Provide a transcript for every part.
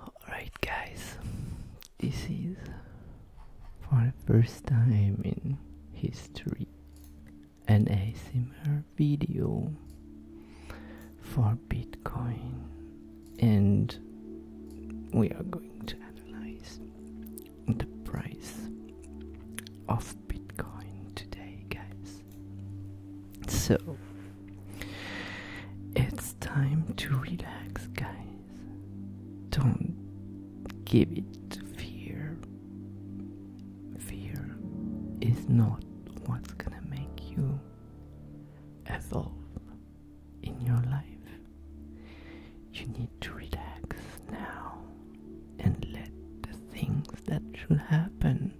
Alright guys, this is for the first time in history an ASMR video for Bitcoin and we are going to analyze the price of Bitcoin today guys. So, it's time to relax, guys. Don't give it to fear. Fear is not what's gonna make you evolve in your life. You need to relax now and let the things that should happen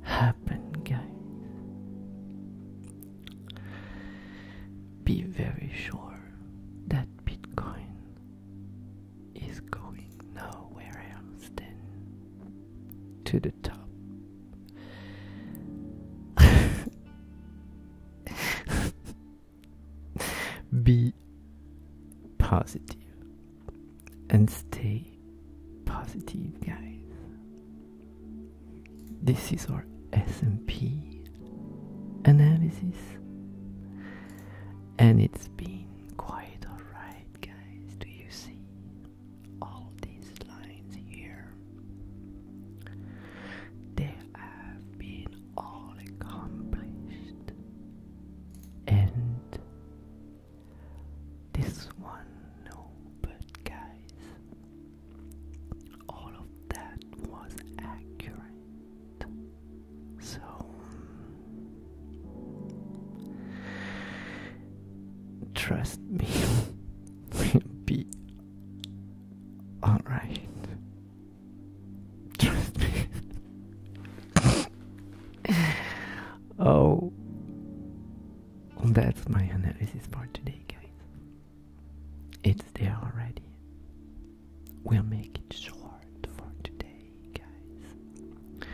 happen. Happen, Be very sure that Bitcoin is going nowhere else than to the top. Be positive and stay positive, guys. This is our S&P analysis and it's been quite alright guys. Do you see all these lines here? They have been all accomplished. And this one, no, but guys, all of that was accurate. So trust me, we'll be alright. Trust me. oh, that's my analysis for today, guys. It's there already. We'll make it short for today, guys,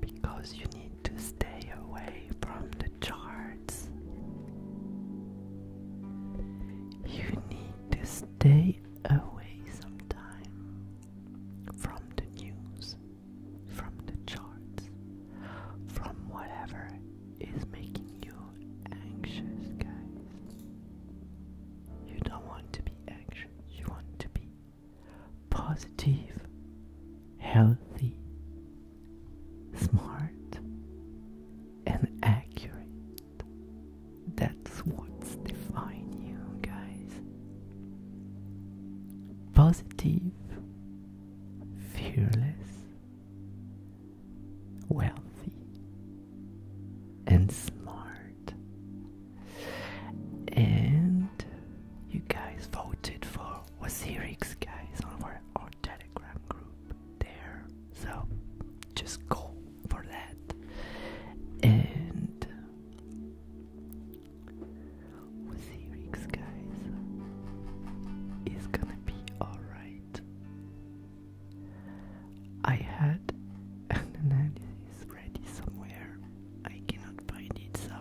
because you need to stay away from the charts. You need to stay away sometime from the news, from the charts, from whatever is making you anxious, guys. You don't want to be anxious, you want to be positive, healthy, smart, and accurate. That's what's define you guys. Positive, fearless, wealthy, and smart. And you guys voted for Wasirix guys on our, Telegram group there. So just go for that. And Wasirix guys is gonna be alright. I had an analysis already somewhere. I cannot find it, so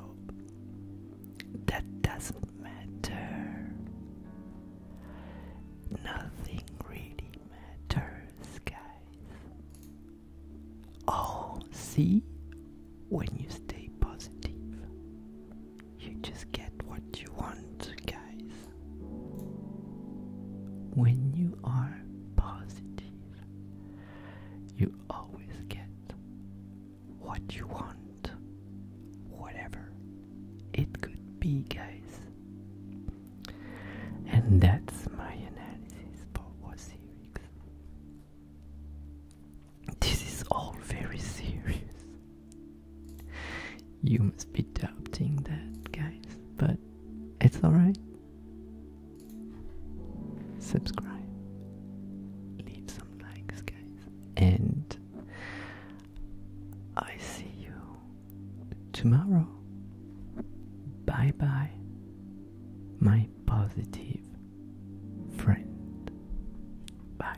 that doesn't matter. Nothing really matters, guys. Oh, see? When you stay positive, you just get what you want, guys. When you are positive, you always get what you want, whatever it could be, guys. And that's my analysis This is all very serious. You must be doubting that, guys, but it's alright subscribe, leave some likes, guys, and I see you tomorrow. Bye bye, my positive friend. Bye.